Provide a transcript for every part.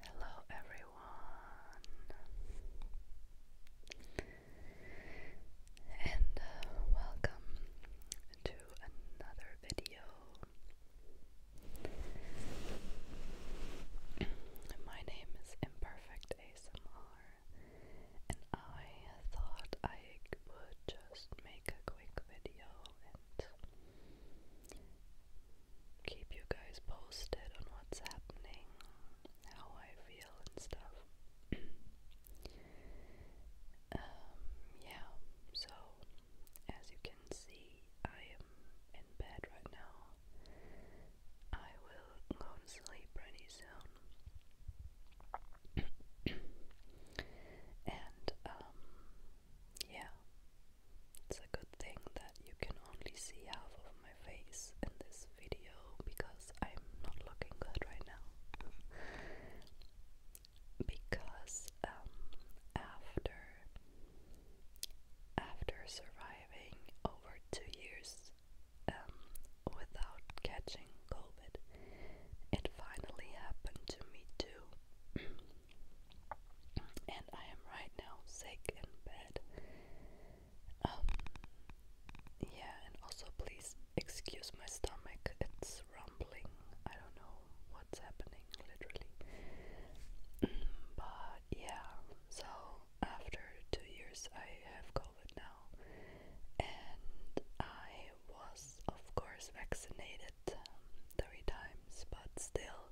Hello, everyone, and uh, welcome to another video. My name is Imperfect ASMR, and I thought I would just make a quick video keep you guys posted on what's happening, how I feel and stuff. Um, yeah, so as you can see, I am in bed right now. I will go sleep pretty soon. and, um, yeah, it's a good thing that you can only see half of my face in this video because I'm not looking good right now. because um, after after surviving over two years um, without catching COVID, it finally happened to me too. and I am right now sick in bed. Um, yeah, and also please excuse my stomach, it's rumbling. I don't know what's happening, literally. but yeah, so after two years, I have COVID now, and I was, of course, vaccinated. Um, three times, but still,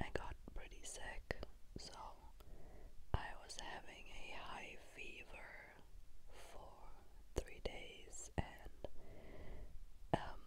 I got pretty sick. So, I was having a high fever for three days, and um,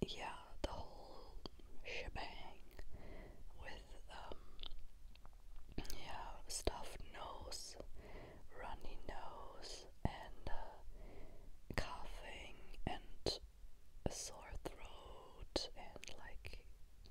yeah, the whole shebang with um, yeah, stuff, nose, runny nose, and uh, coughing and a sore throat and like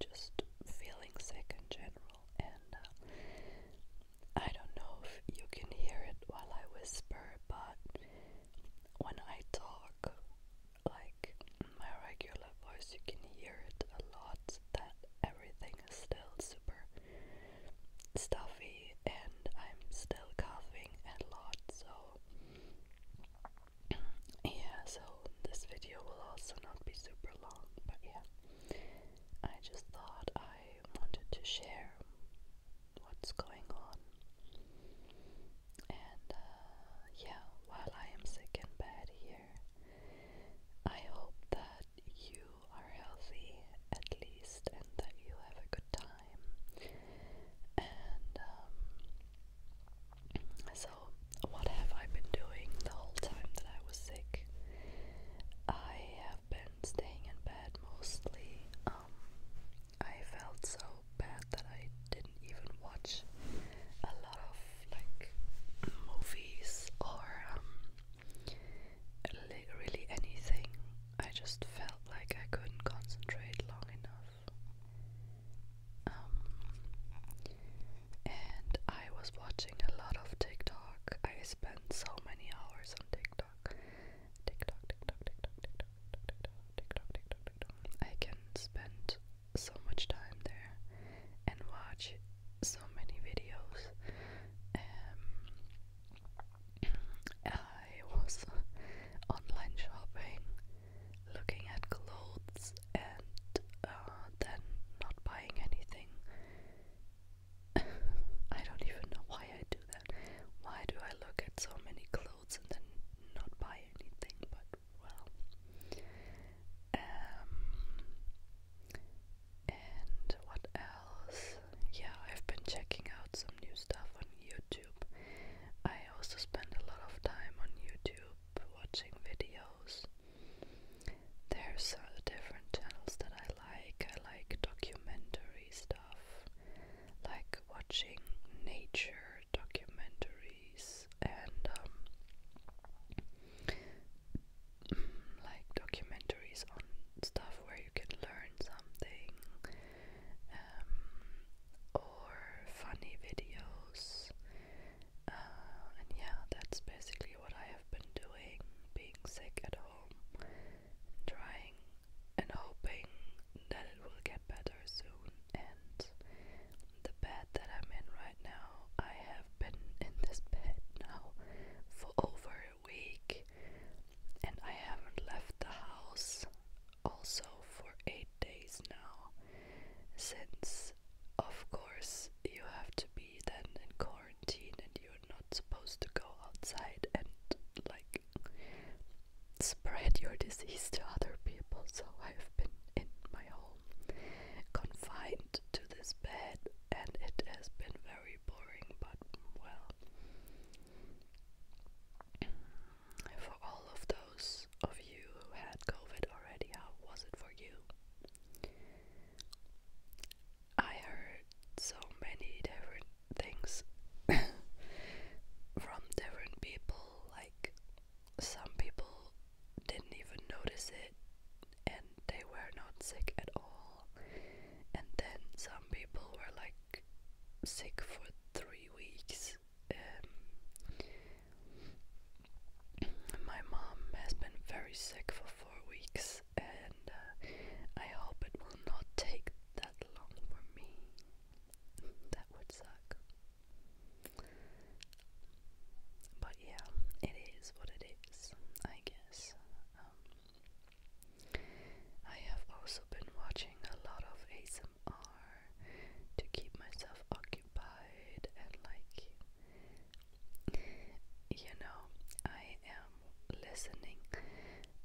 just feeling sick in general. And uh, I don't know if you can hear it while I whisper, but when I talk, like my regular voice, you can hear it a lot that everything is still super stuffy and I'm still coughing a lot. So yeah, so this video will also not be super long, but yeah, I just thought I wanted to share what's going on. And uh, yeah, while I am sick in bed here, I hope that you are healthy at least and that you have a good time. And um, so, what have I been doing the whole time that I was sick? I have been staying in bed mostly. Um, I felt so bad that I didn't even watch a lot of like movies or um, really anything. I just felt like I couldn't concentrate long enough. Um, and I was watching a lot of TikTok. I spent so many hours on TikTok. TikTok, TikTok, TikTok, TikTok, TikTok, TikTok, TikTok, TikTok. I can spend so much time there and watch so many videos. Um, I was online shopping, looking at clothes, and uh, then not buying anything. I don't even know why I do that. Why do I look at so many clothes and then not buy anything? But well, um, and what else? Yeah, I've been checking out some new stuff on YouTube. I also spend a lot of time on YouTube watching videos. There's uh, different channels that I like. I like documentary stuff, like watching nature documentaries and um, like documentaries on stuff where you can learn something um, or funny videos. Uh, and yeah, that's basically what I have been doing being sick at home, trying and hoping that it will get better soon. And the bed that I'm in right now, I have been in this bed now for over a week and I haven't left the house also for eight days now, since of course you have to be then in quarantine and you're not supposed to go outside and like spread your disease to other people. So I've been in my home confined to this bed and it has been very boring, but well. For all of those of you who had COVID already, how was it for you? I heard so many different things from different people, like some people didn't even notice it and they were not sick at all, and then some people were like sick for three weeks. Um, my mom has been very sick for four weeks, and uh, I hope it will not take that long for me. That would suck. But yeah, it is what it is, I guess. Um, I have also been watching a lot of ASMR to keep myself occupied and like you know, I am listening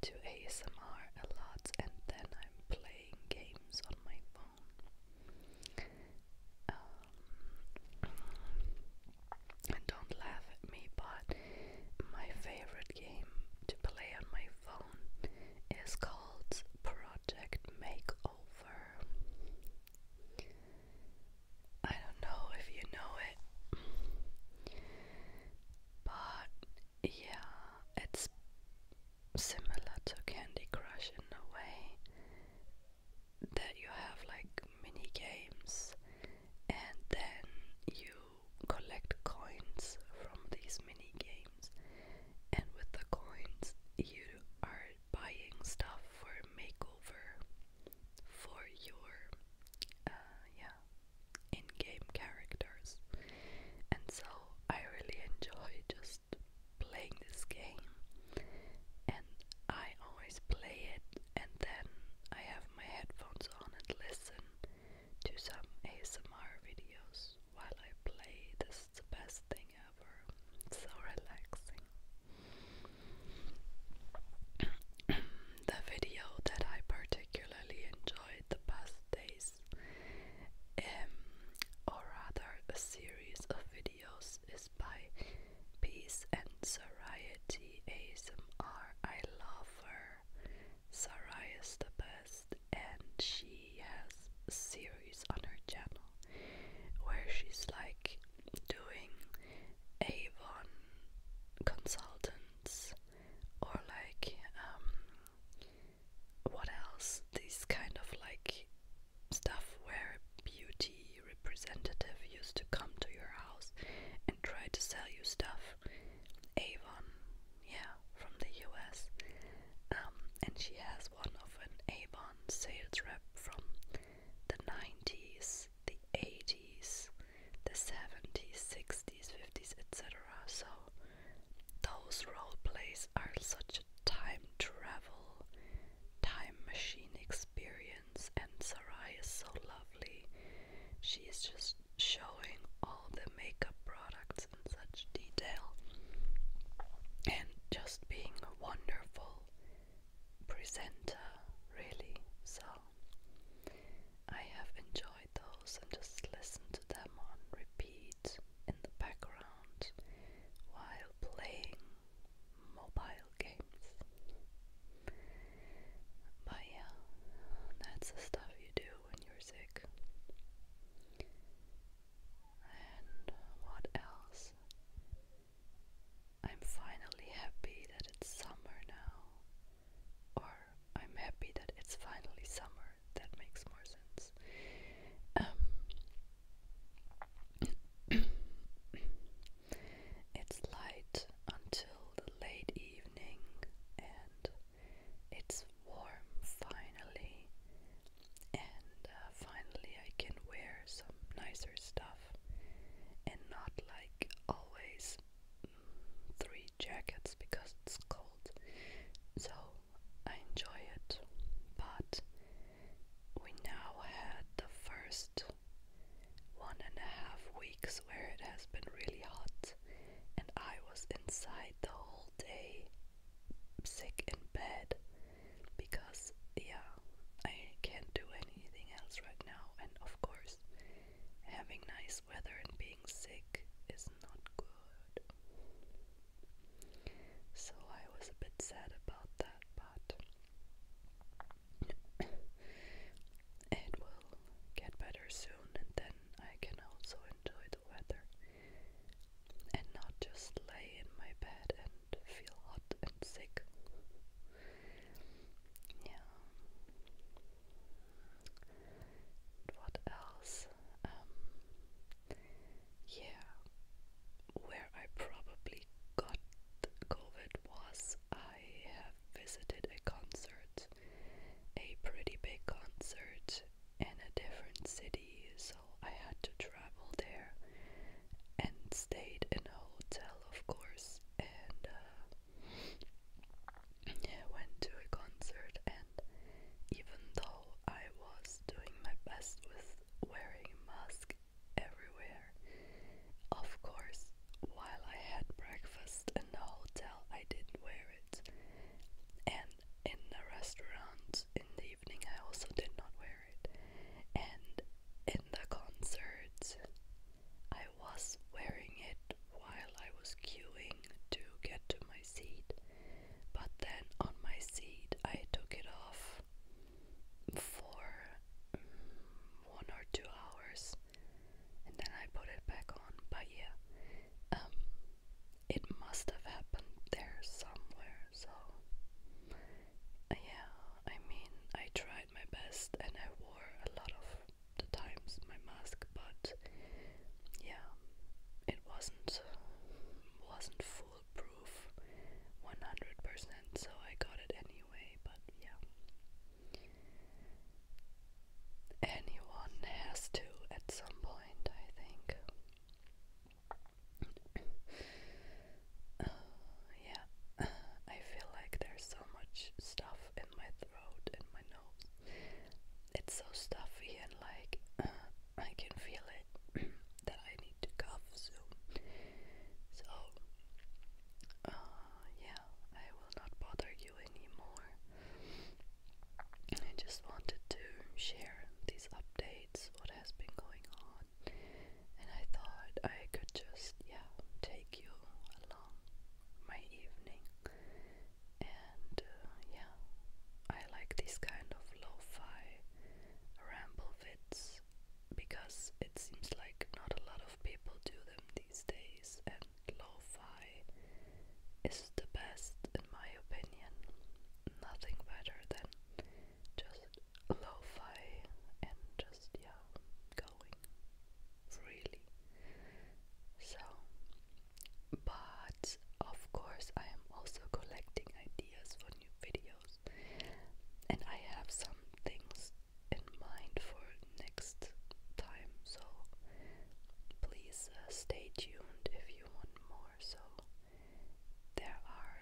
to ASMR a lot and then I'm playing games on my phone. Um, and don't laugh at me, but my favorite game to play on my phone down is called Project Makeover. I don't know if you know it, but yeah, it's similar to Candy Crush in a way that you have like mini games and then you collect coins from these mini games, and with the coins, you are buying stuff for makeover for your uh, yeah in-game characters. And so I really enjoy just playing this game, and I always play it, and then I have my headphones on and listen to some ASMR videos while I play. This is the best thing ever. so relaxing. the video that I particularly enjoyed the past days, um, or rather a series of videos, is by Peace and Serenity ASMR. I love her. Sarah is the best, and she has a series on her channel where she's like doing Avon consultants or like um, what else? These kind of like stuff where beauty representative used to come to your house and try to sell you stuff. Avon yeah, from the US. Um, and she has one of an Avon sales rep from the 90s, the 80s, the 70s, 60s, 50s, etc. So those role plays are such a time travel, time machine experience, and Sarai is so lovely She's just showing all the makeup products in such detail and just being a wonderful presenter, really. So I have enjoyed those and just listened to them on repeat in the background while playing mobile games. But yeah, that's the stuff you do when you're sick. And what else? I'm finally happy that it's summer now. Or I'm happy that it's finally summer. That makes more sense. Um, it's light until the late evening, and it's warm finally, and uh, finally I can wear some nicer stuff and not like always mm, three jackets because it's cold. So I enjoy it, but we now had the first one and a half weeks where it has been really hot and I was inside the whole day, sick in bed, because, yeah, I can't do anything else right now, and of course, having nice weather and being sick is not good. So I was a bit sad about that, but it will get better soon, and then I can also enjoy the weather and not just lay in my bed and feel hot and sick. Yeah. What else? Um, yeah, where I probably got COVID was I have visited a concert, a pretty big concert in a different city, so I had to travel there and stayed in a hotel, of course, and uh, went to a concert. And even though I was doing my best with wearing a mask everywhere, of course, while I had breakfast in the hotel, I didn't wear and in the restaurants in the evening, I also did not wear it. And in the concerts, I was wearing it while I was queuing to get to my seat. But then on my seat, I took it off for mm, one or two hours and then I put it back on. But yeah, um, it must have happened there somewhere. So yeah, I mean, I tried my best, and I wore a lot of the times my mask, but yeah, it wasn't wasn't foolproof 100%. So I got it anyway, but yeah. Anyone has to at some point, I think. Uh, yeah, I feel like there's so much stuff in my throat and my nose. It's so stuffy and like I can feel it that I need to cough soon. So, uh, yeah, I will not bother you anymore. I just wanted to share these updates, what has been going on, and I thought I could just, yeah, take you along my evening. And uh, yeah, I like these kind of lo-fi ramble fits because it seems like not a lot of people do them these days, lo-fi is the best in my opinion. Nothing better than just lo-fi and just yeah, going freely. So, but of course, I am also collecting ideas for new videos, and I have some things in mind for next time. So please uh, stay tuned if you want more. So, there are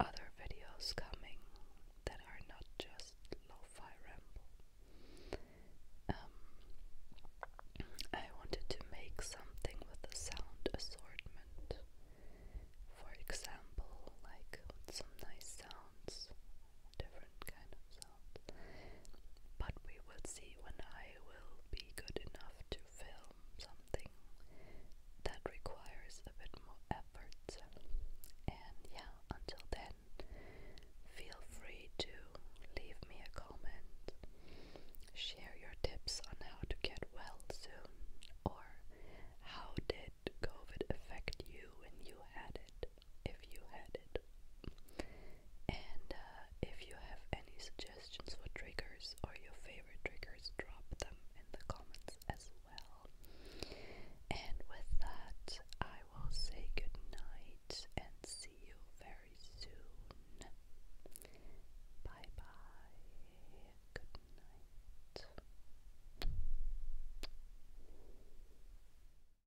other videos coming that are not just lo fi ramble. Um, I wanted to make something with a sound assortment. For example, like some nice sounds, different kind of but we will see when I will be good enough to film something that requires a bit more effort. And yeah, until then, feel free to leave me a comment, share your tips on how to get well soon, or how did COVID affect you when you had it? if you had it. And uh, if you have any suggestions for triggers or your favorite triggers, drop them in the comments as well. And with that, I will say good night and see you very soon. Bye bye. Good night.